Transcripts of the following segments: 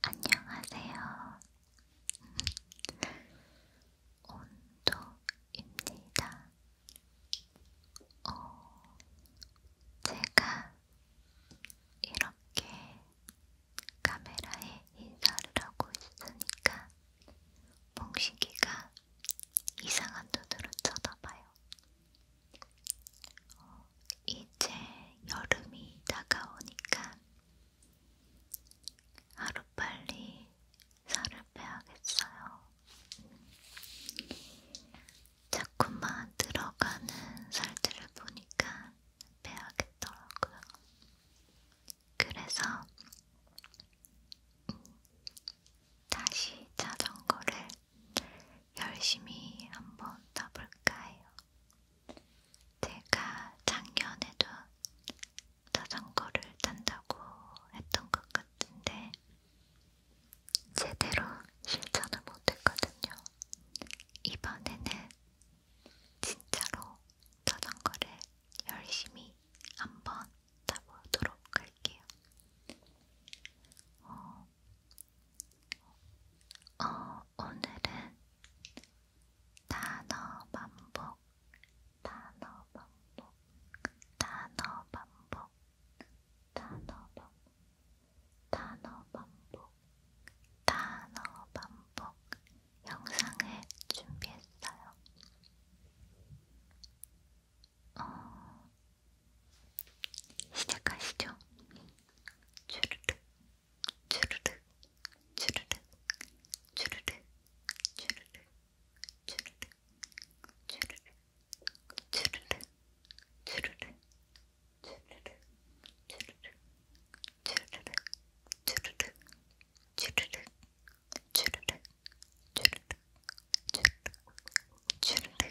안녕하세요. 온도입니다. 어, 제가 이렇게 카메라에 인사를 하고 있으니까 몽식이가 이상한 눈으로 쳐다봐요. 어, 이제 여름이 다가오니까 하루빨리 살을 빼야겠어요. 자꾸만 들어가는 살들을 보니까 빼야겠더라고요. 그래서 음, 다시 자전거를 열심히 한번 떠볼까 해요. 제가 작년에도 자전거를 탄다고 했던 것 같은데 제대로 실천을 못했거든요. 이번에는 진짜로 자전거를 열심히 한번 타보도록 할게요. 어, 어, 오늘은 단어 반복, 단어 반복, 단어 반복, 단어 반복, 단어 반복, 단어 반복 영상을 준비했어요. 어, 시작하시죠. 주르륵, 주르륵, 주르륵, 주르륵, 주르륵, 주르륵, 주르륵, 주르륵, 주르륵, 주르륵, 주르륵, 주르륵, 주르륵, 주르륵, 주르륵, 주르륵, 주르륵, 주르륵, 주르륵,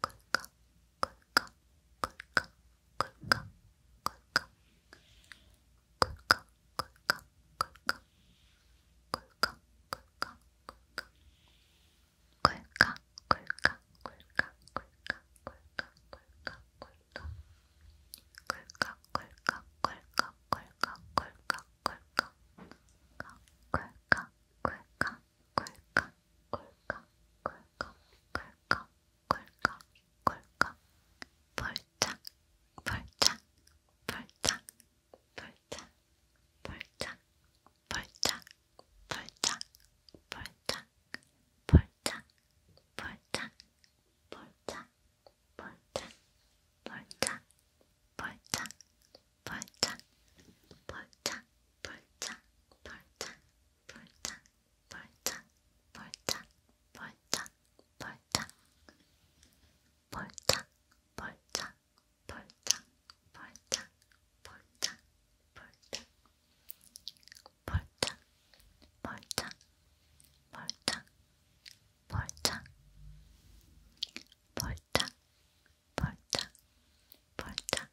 꿀꺽, 꿀꺽, 꿀꺽, 꿀꺽, 꿀꺽, 꿀꺽, 꿀꺽, 꿀꺽, 꿀꺽, 꿀꺽, 꿀꺽. 꿀꺽, 꿀꺽, 꿀꺽, 꿀꺽, 꿀꺽, 꿀꺽, 꿀꺽. 꿀꺽, 꿀꺽, 꿀꺽, 꿀꺽, 꿀꺽, 꿀꺽. 꿀꺽, 꿀꺽, 꿀꺽, 꿀꺽 꿀꺽 꿀꺽 꿀꺽 꿀꺽 꿀꺽 벌짝 벌짝 벌짝 벌짝 벌짝 벌짝 벌짝 벌짝 벌짝 벌짝 벌짝 벌짝 벌짝 벌짝 벌짝 벌짝 벌짝 벌짝 벌짝 볼짝, 볼짝, 볼짝, 볼짝, 볼짝, 볼짝, 볼짝, 볼짝, 볼짝, 볼짝, 볼짝, 볼짝, 볼짝, 볼짝, 볼짝, 볼짝, 볼짝, 볼짝,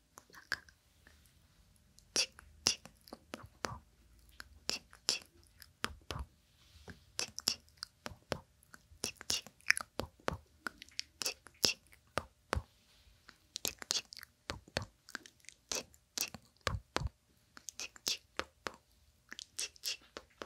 꾸나가 칙칙 폭폭 칙칙 폭폭 칙칙 폭폭 칙칙 폭폭 칙칙 폭폭 칙칙 폭폭 칙칙 폭폭 칙칙 폭폭 칙칙 폭폭 칙칙 폭폭 칙칙 폭폭 칙칙 폭폭 칙칙 폭폭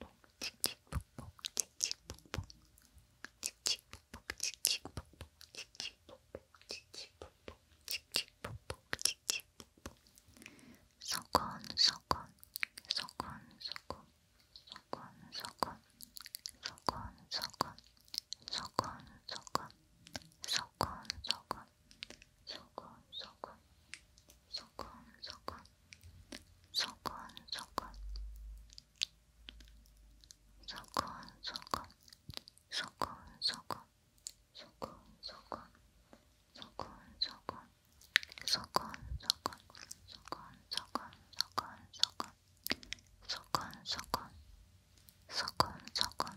폭폭 칙칙폭폭 칙칙폭폭 칙칙폭폭 칙칙폭폭 칙칙폭폭 칙칙폭폭 칙칙폭폭 칙칙폭폭 서건 서건 서건 서건 서건 서건 서건 서건 서건 서건 서건 서건 서건 서건 서건 서건 소곤소곤 소곤소곤 소곤소곤 소곤소곤 소곤소곤 소곤소곤 소곤소곤 소곤소곤 소곤소곤 소곤소곤 소곤소곤 소곤소곤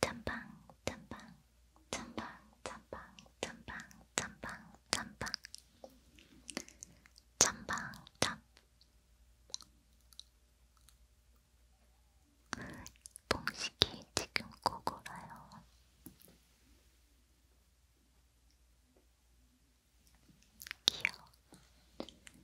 짬빵 짬빵 짬빵 짬빵 짬빵 짬빵 짬빵 짬빵 짬 봉식이 지금 꼬고라요. 귀여워.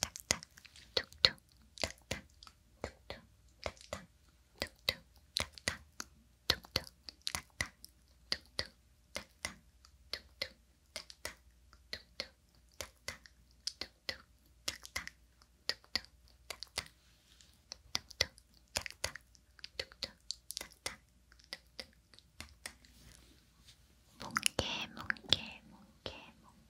탁탁 툭툭 탁탁 툭툭 탁탁 툭툭 탁탁 툭툭 탁탁 툭툭 탁탁 툭툭 탁탁 툭툭 탁탁 툭툭 탁탁 툭툭 탁탁 툭툭 탁탁 툭툭 탁탁 툭툭 탁탁 뭉게 뭉게 뭉게 뭉게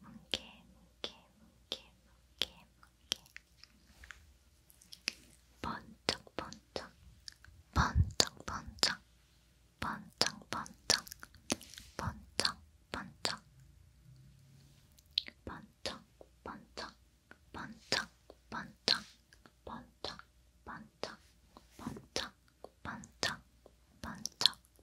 뭉게 뭉게 뭉게 뭉게 뭉게 번쩍 번쩍 번쩍 번쩍 번쩍 번쩍 번쩍 번쩍 번쩍 번쩍 번쩍 번쩍 번쩍 번쩍 번쩍 번쩍 번쩍 번쩍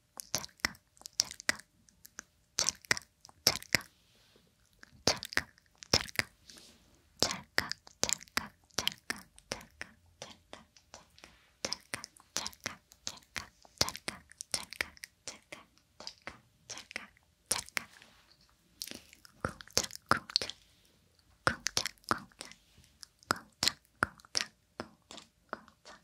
찰칵 찰칵 찰칵 찰칵 찰칵 찰칵 찰칵 찰칵 찰칵 찰칵 찰칵 찰칵 찰칵 찰칵 찰칵 찰칵 찰칵 찰칵 찰칵 쿵짝 쿵짝 쿵짝 쿵짝 쿵짝 쿵짝 쿵짝 쿵짝 쿵짝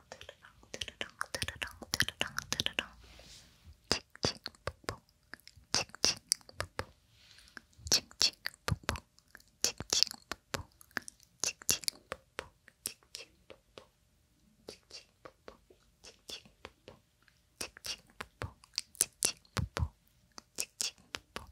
드르렁 드르렁 드르렁 드르렁 드르렁 칙칙 폭폭 칙칙 폭폭 칙칙 폭폭 칙칙 폭폭 칙칙 폭폭 칙칙 폭폭 칙칙 폭폭 칙칙 폭폭 칙칙 폭폭 칙칙 폭폭 칙칙 폭폭 칙칙 폭폭 칙칙 폭폭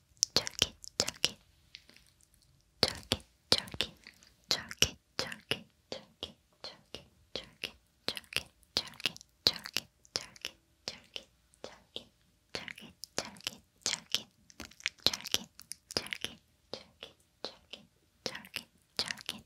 쫄깃쫄깃 쫄깃쫄깃 쫄깃쫄깃 쫄깃쫄깃 쫄깃쫄깃 쫄깃쫄깃 쫄깃쫄깃 쫄깃 쫄깃 쫄깃 쫄깃 쫄깃 쫄깃 쫄깃 쫄깃 쫄깃 쫄깃 쫄깃 쫄깃 꿀깍꿀깍꿀깍꿀깍